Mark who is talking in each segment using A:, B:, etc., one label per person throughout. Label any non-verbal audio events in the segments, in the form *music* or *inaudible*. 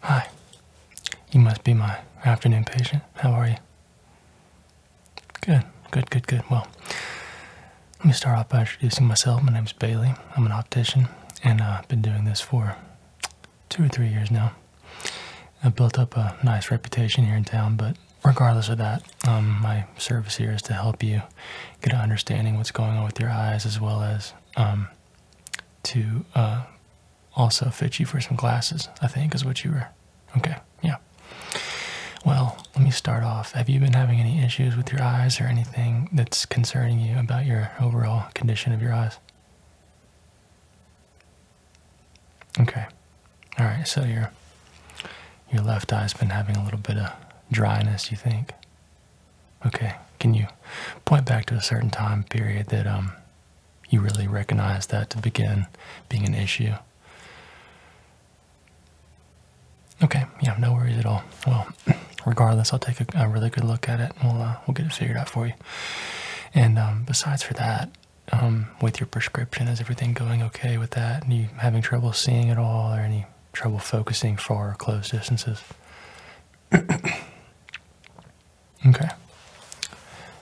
A: Hi. You must be my afternoon patient. How are you? Good, good, good, good. Well, let me start off by introducing myself. My name is Bailey. I'm an optician, and uh, I've been doing this for two or three years now. I've built up a nice reputation here in town, but regardless of that, um, my service here is to help you get an understanding what's going on with your eyes as well as um, to uh, also fit you for some glasses, I think, is what you were. Okay, yeah. Well, let me start off. Have you been having any issues with your eyes or anything that's concerning you about your overall condition of your eyes? Okay. All right, so your your left eye's been having a little bit of dryness, you think? Okay. Can you point back to a certain time period that um you really recognize that to begin being an issue. Okay, yeah, no worries at all. Well, *clears throat* regardless, I'll take a, really good look at it. And we'll uh, we'll get it figured out for you. And um, besides for that, um, with your prescription, is everything going okay with that? And you having trouble seeing at all, or any trouble focusing far or close distances? *clears throat* Okay.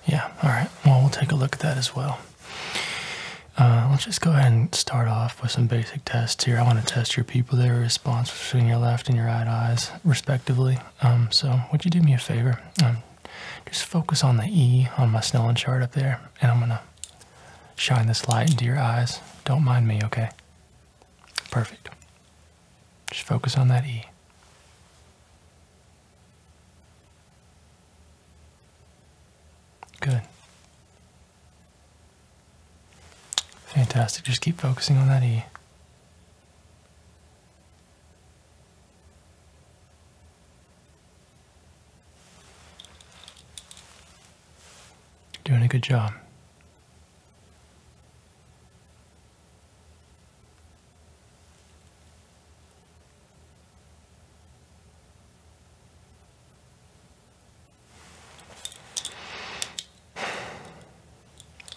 A: Yeah, all right. Well, we'll take a look at that as well. Uh, let's just go ahead and start off with some basic tests here. I want to test your their response between your left and your right eyes, respectively. Um, so, would you do me a favor? Um, just focus on the E on my Snellen chart up there, and I'm going to shine this light into your eyes. Don't mind me, okay? Perfect. Just focus on that E. Good. Fantastic. Just keep focusing on that E. Doing a good job.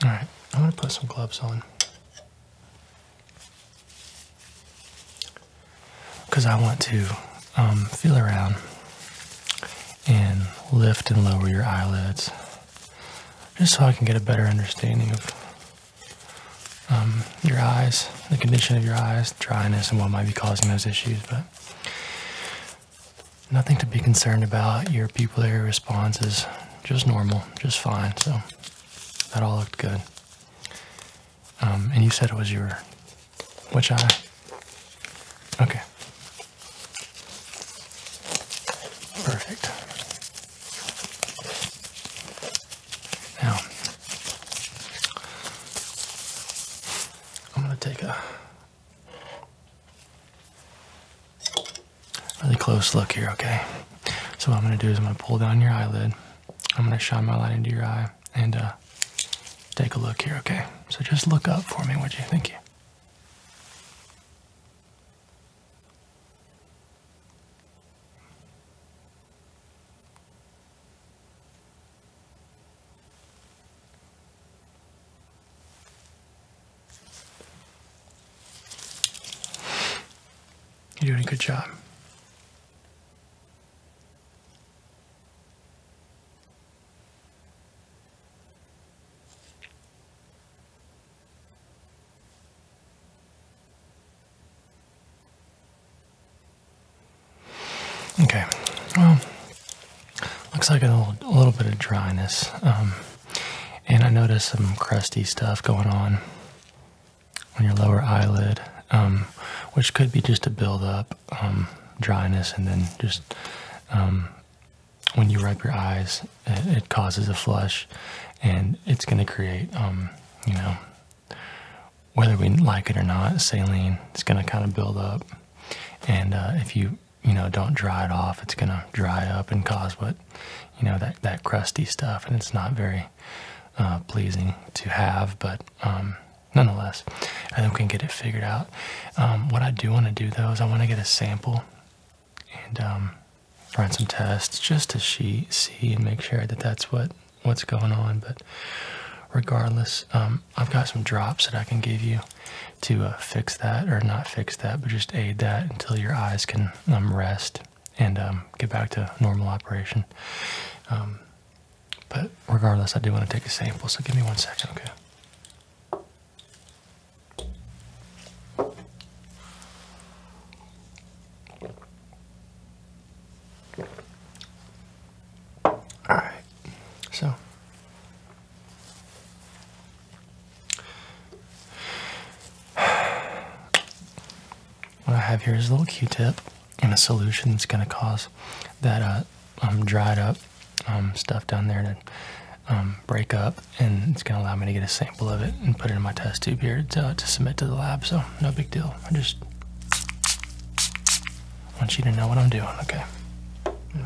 A: All right, I'm going to put some gloves on. Because I want to um, feel around and lift and lower your eyelids just so I can get a better understanding of um, your eyes, the condition of your eyes, dryness, and what might be causing those issues. But nothing to be concerned about. Your pupillary response is just normal, just fine. So that all looked good. Um, and you said it was your which eye? Okay. Perfect. Now, I'm going to take a really close look here, okay? So, what I'm going to do is I'm going to pull down your eyelid, I'm going to shine my light into your eye, and uh, take a look here, okay? So, just look up for me. What do you think? You're doing a good job. Okay, well, looks like a little, bit of dryness. Um, and I noticed some crusty stuff going on on your lower eyelid, um, which could be just a buildup, um, dryness, and then just um, when you rub your eyes, it, causes a flush, and it's going to create, um, you know, whether we like it or not, saline. It's going to kind of build up, and uh, if you you know don't dry it off, it's going to dry up and cause what you know that that crusty stuff, and it's not very uh, pleasing to have, but. Um, nonetheless, I think we can get it figured out. Um, what I do want to do though is I want to get a sample and um, run some tests just to see, and make sure that that's what what's going on. But regardless, um, I've got some drops that I can give you to uh, fix that, or not fix that, but just aid that until your eyes can um, rest and get back to normal operation. but regardless, I do want to take a sample, so give me one second, okay? All right, so what I have here is a little Q-tip and a solution that's going to cause that uh, um, dried up um, stuff down there to um, break up and it's gonna allow me to get a sample of it and put it in my test tube here to, to submit to the lab, so no big deal. I just want you to know what I'm doing, okay? Yeah.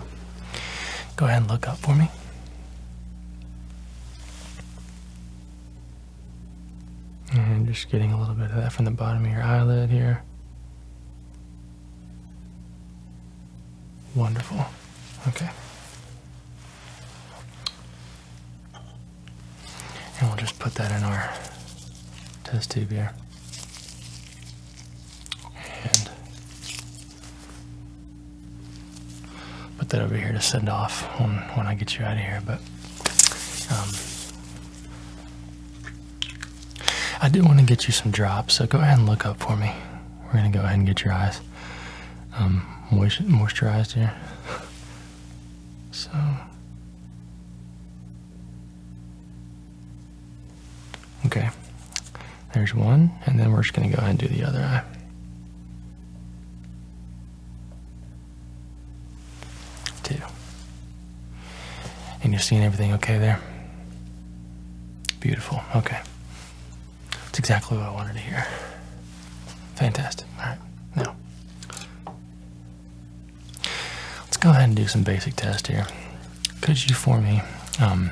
A: Go ahead and look up for me. And just getting a little bit of that from the bottom of your eyelid here. Wonderful. Okay. And we'll just put that in our test tube here. And put that over here to send off when, I get you out of here. But um, I do want to get you some drops, so go ahead and look up for me. We're going to go ahead and get your eyes nice um, moist moisturized here. so okay, there's one, and then we're just gonna go ahead and do the other eye. Two. And you're seeing everything okay there? Beautiful. Okay. That's exactly what I wanted to hear. Fantastic. All right, now let's go ahead and do some basic tests here. Could you for me um,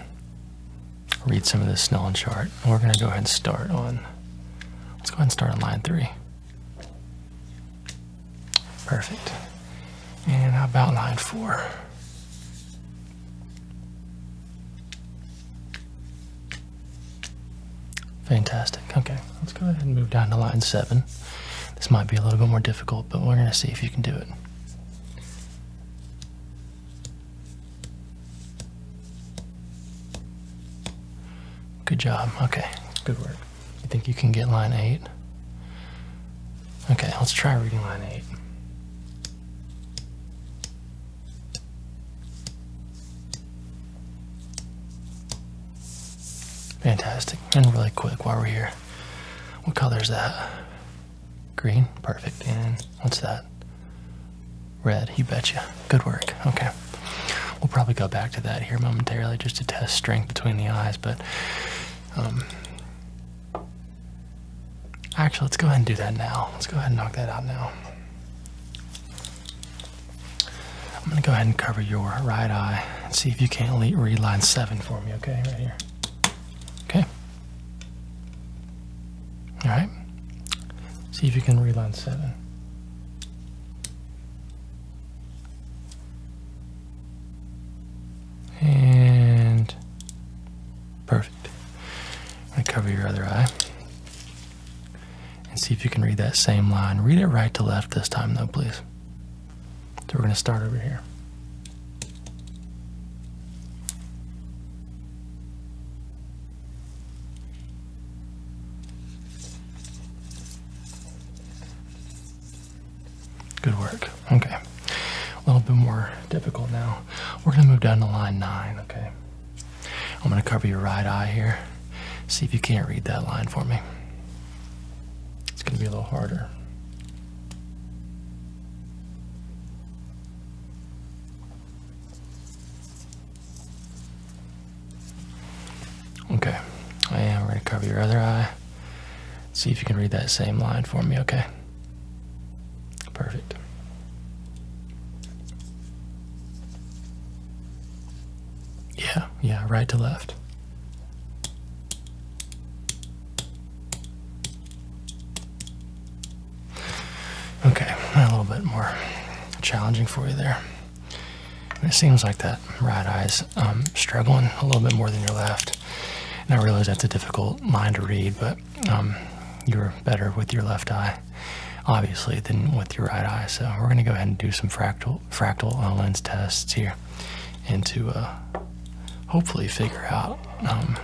A: read some of this and chart? We're going to go ahead and start on. Let's go ahead and start on line three. Perfect. And how about line four? Fantastic. Okay, let's go ahead and move down to line seven. This might be a little bit more difficult, but we're going to see if you can do it. Good job. Okay, good work. You think you can get line eight? Okay, let's try reading line eight. Fantastic. And really quick while we're here, what color is that? Green? Perfect. And what's that? Red. You betcha. Good work. Okay. We'll probably go back to that here momentarily just to test strength between the eyes, but um, actually, let's go ahead and do that now. Let's go ahead and knock that out now. I'm going to go ahead and cover your right eye and see if you can't read line 7 for me, okay? Right here. Okay. All right. See if you can read line 7. And perfect. i cover your other eye and see if you can read that same line. Read it right to left this time, though, please. So we're going to start over here. Good work. Okay. A little bit more difficult now. We're going to move down to line 9, okay? I'm going to cover your right eye here. See if you can't read that line for me. It's going to be a little harder. Okay. Yeah, We're going to cover your other eye. See if you can read that same line for me, okay? Perfect. Yeah, yeah, right to left. Okay, a little bit more challenging for you there. it seems like that right eye's um, struggling a little bit more than your left. And I realize that's a difficult line to read, but um, you are better with your left eye, obviously, than with your right eye. So we're going to go ahead and do some fractal fractal uh, lens tests here, and to uh, hopefully figure out um,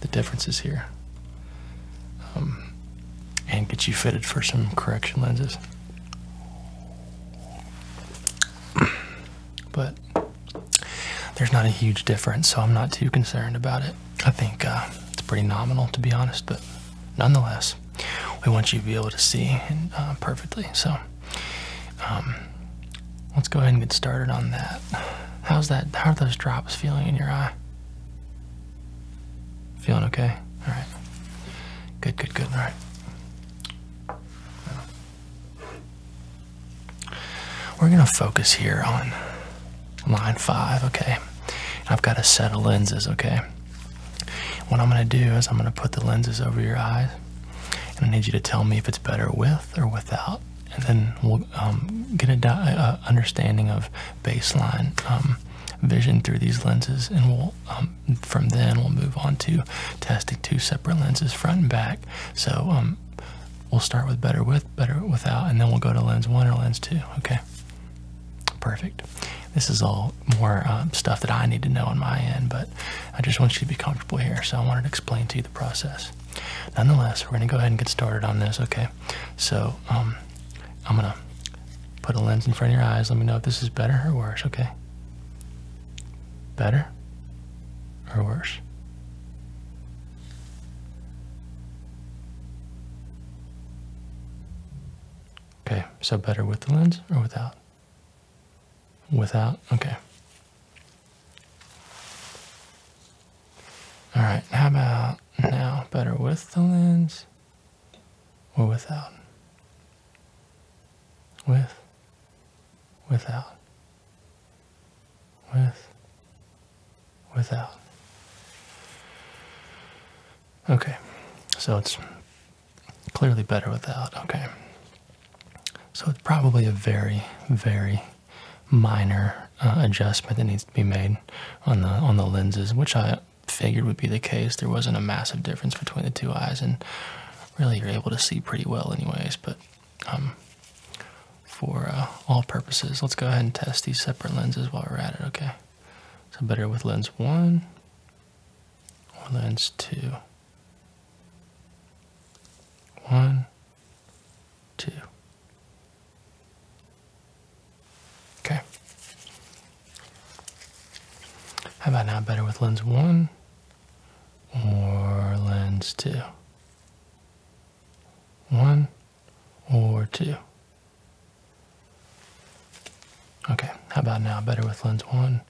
A: the differences here, um, and get you fitted for some correction lenses. but there's not a huge difference, so I'm not too concerned about it. I think uh, it's pretty nominal, to be honest, but nonetheless, we want you to be able to see uh, perfectly. So um, let's go ahead and get started on that. How's that? How are those drops feeling in your eye? Feeling okay? All right. Good, good, good. All right. We're going to focus here on line five, okay. I've got a set of lenses, okay. What I'm gonna do is I'm gonna put the lenses over your eyes, and I need you to tell me if it's better with or without, and then we'll um, get a understanding of baseline um, vision through these lenses, and um, from then we'll move on to testing two separate lenses, front and back. So we'll start with better with, better without, and then we'll go to lens one or lens two. Okay. Perfect. This is all more uh, stuff that I need to know on my end, but I just want you to be comfortable here, so I wanted to explain to you the process. Nonetheless, we're going to go ahead and get started on this, okay? So, um, I'm going to put a lens in front of your eyes. Let me know if this is better or worse, okay? Better or worse? Okay, so better with the lens or without? Without, okay. All right, how about now? Better with the lens or without? With, without, with, without. Okay, so it's clearly better without. Okay. So it's probably a very, very minor uh, adjustment that needs to be made on the on the lenses, which I figured would be the case. There wasn't a massive difference between the two eyes, and really you're able to see pretty well, anyways. But um, for uh, all purposes. Let's go ahead and test these separate lenses while we're at it, okay? So better with lens one or lens two. One, two. Okay. How about now better with lens one or lens two? One, or two. Okay, how about now? Better with lens one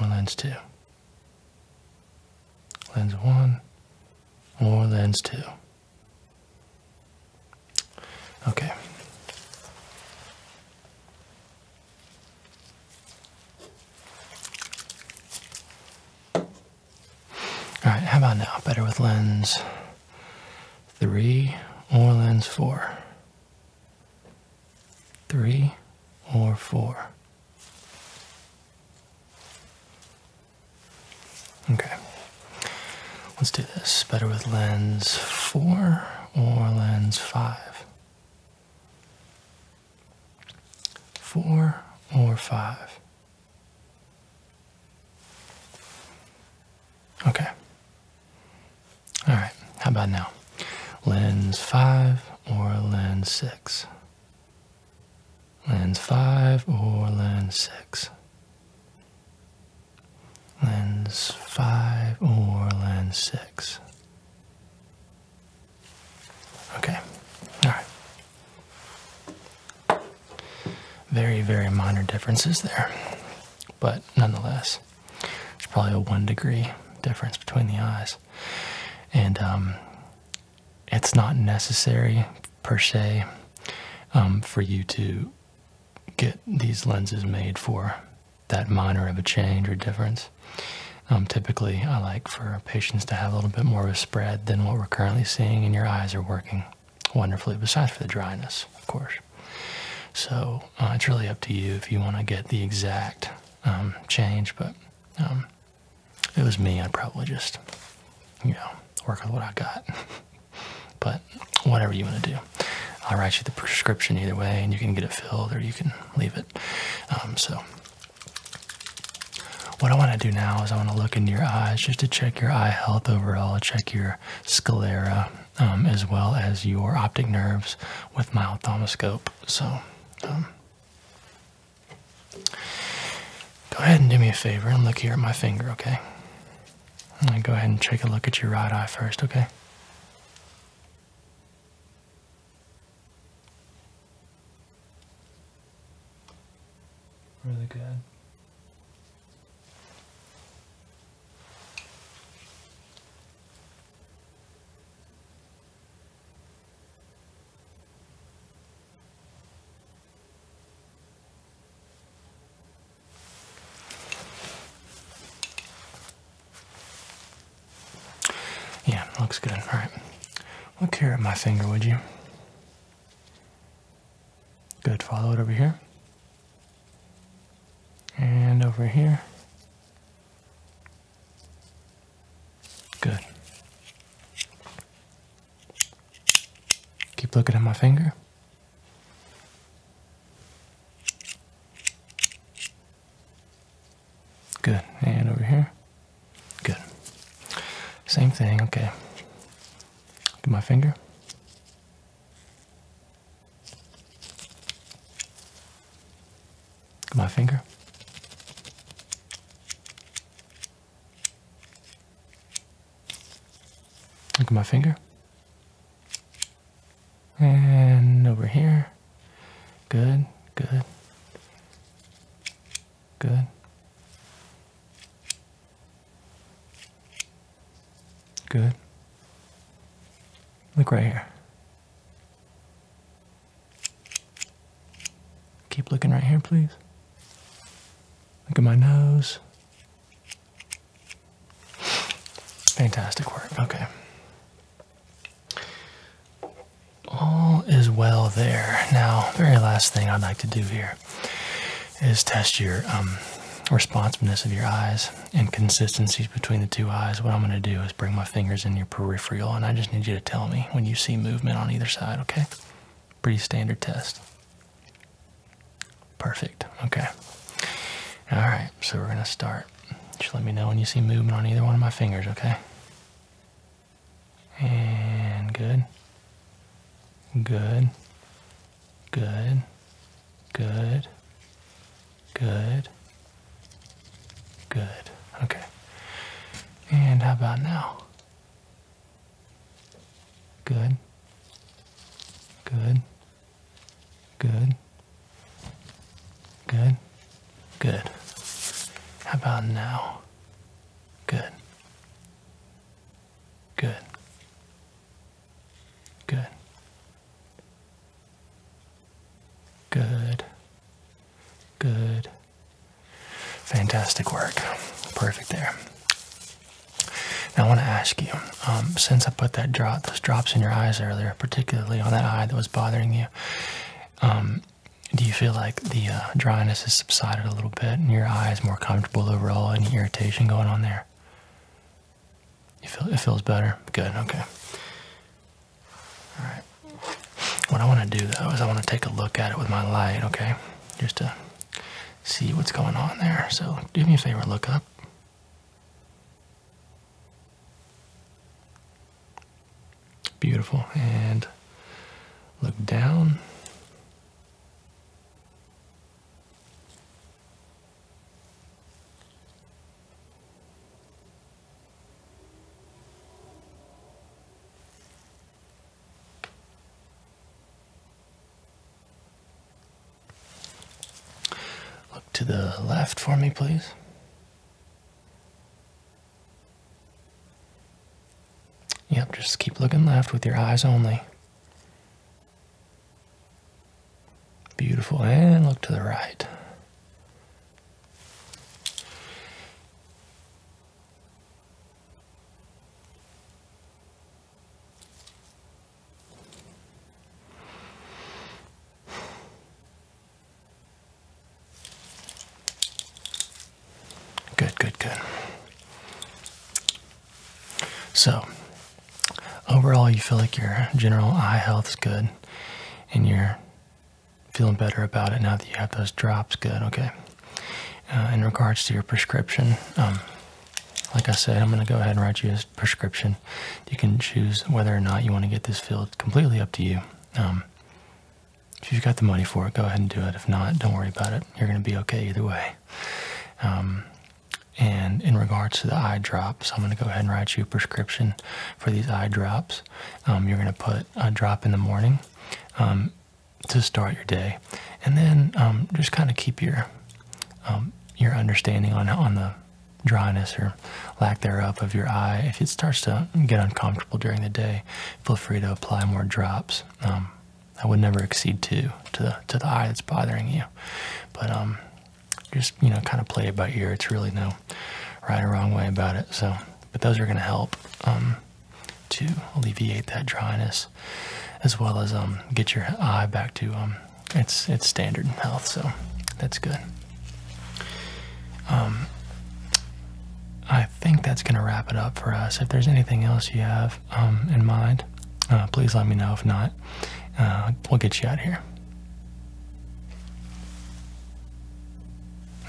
A: or lens two? Lens one or lens two? Okay. All right, how about now? Better with lens three or lens four? Three or four? Okay, let's do this. Better with lens four or lens five? Four or five? Okay. All right, how about now? Lens 5 or lens 6? Lens 5 or lens 6? Lens 5 or lens 6? Okay, all right. Very, very minor differences there. But nonetheless, it's probably a one degree difference between the eyes. And um, it's not necessary per se um, for you to get these lenses made for that minor of a change or difference. Um, typically, I like for patients to have a little bit more of a spread than what we're currently seeing, and your eyes are working wonderfully, besides for the dryness, of course. So uh, it's really up to you if you want to get the exact um, change, but um, it was me, I'd probably just, you know, work with what I got. *laughs* but whatever you want to do. I'll write you the prescription either way, and you can get it filled or you can leave it. Um, so what I want to do now is I want to look into your eyes just to check check your eye health overall, check your sclera, um, as well as your optic nerves with my ophthalmoscope. So, um, go ahead and do me a favor and look here at my finger, okay? i go ahead and take a look at your right eye first, okay? Really good. Yeah, looks good. All right. Look here at my finger, would you? Good, follow it over here. And over here. Good. Keep looking at my finger. Good. And over here. Good. Same thing. Okay. Look at my finger. Look at my finger. Look at my finger. And over here. Good, good. Good. Good. Look right here. Keep looking right here, please. Look at my nose. Fantastic work. Okay. All is well there. Now, very last thing I'd like to do here is test your um, responsiveness of your eyes inconsistencies between the two eyes. What I'm going to do is bring my fingers in your peripheral, and I just need you to tell me when you see movement on either side, okay? Pretty standard test. Perfect. Okay. All right, so we're going to start. Just let me know when you see movement on either one of my fingers, okay? And good. Good. Good. Good. Good. Good. Okay. And how about now? Good. Good. Good. Good. Good. How about now? Good. Good. Good. Good. Good. Fantastic work. Perfect there. Now I want to ask you, um, since I put that drop, those drops in your eyes earlier, particularly on that eye that was bothering you, um, do you feel like the uh, dryness has subsided a little bit and your eyes more comfortable overall. Any irritation going on there? You feel it feels better? Good, okay. Alright. What I want to do though is I want to take a look at it with my light, okay? Just to see what's going on there. So do me a favor, look up. Beautiful. And look down. Look to the left for me, please. Yep, just keep looking left with your eyes only. Beautiful. And look to the right. Good, good, good. So, overall, you feel like your general eye health is good and you're feeling better about it now that you have those drops good, okay? Uh, in regards to your prescription, um, like I said, I'm going to go ahead and write you a prescription. You can choose whether or not you want to get this filled completely up to you. Um, if you've got the money for it, go ahead and do it. If not, don't worry about it. You're going to be okay either way. Um, and in regards to the eye drops, I'm going to go ahead and write you a prescription for these eye drops. Um, you're going to put a drop in the morning um, to start your day, and then um, just kind of keep your your understanding on on the dryness or lack thereof of your eye. If it starts to get uncomfortable during the day, feel free to apply more drops. I would never exceed two to the to the eye that's bothering you. But um, just you know, kind of play it by ear. It's really no right or wrong way about it. So, but those are gonna help um, to alleviate that dryness, as well as um, get your eye back to um, its its standard health. So that's good. Um, I think that's gonna wrap it up for us. If there's anything else you have um, in mind, uh, please let me know. If not, uh, we'll get you out here.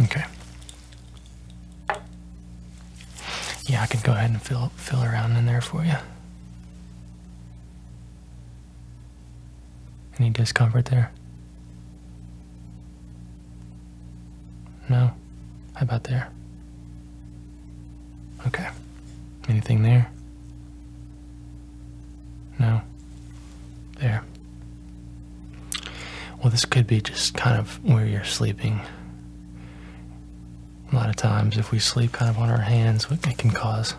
A: Okay. Yeah, I can go ahead and fill fill around in there for you. Any discomfort there? No? How about there? Okay. Anything there? No. There. Well, this could be just kind of where you're sleeping. A lot of times, if we sleep kind of on our hands, it can cause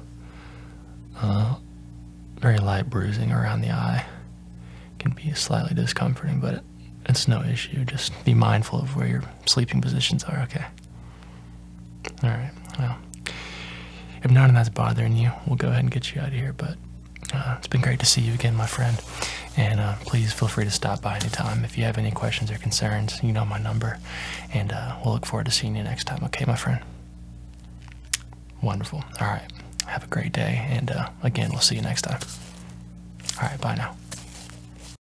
A: uh, very light bruising around the eye. can be slightly discomforting, but it's no issue. Just be mindful of where you're sleeping positions are. Okay. All right. Well, if none of that's bothering you, we'll go ahead and get you out of here. But uh, it's been great to see you again, my friend. And uh, please feel free to stop by anytime if you have any questions or concerns. You know my number, and uh, we'll look forward to seeing you next time. Okay, my friend. Wonderful. All right. Have a great day, and again, we'll see you next time. All right. Bye now.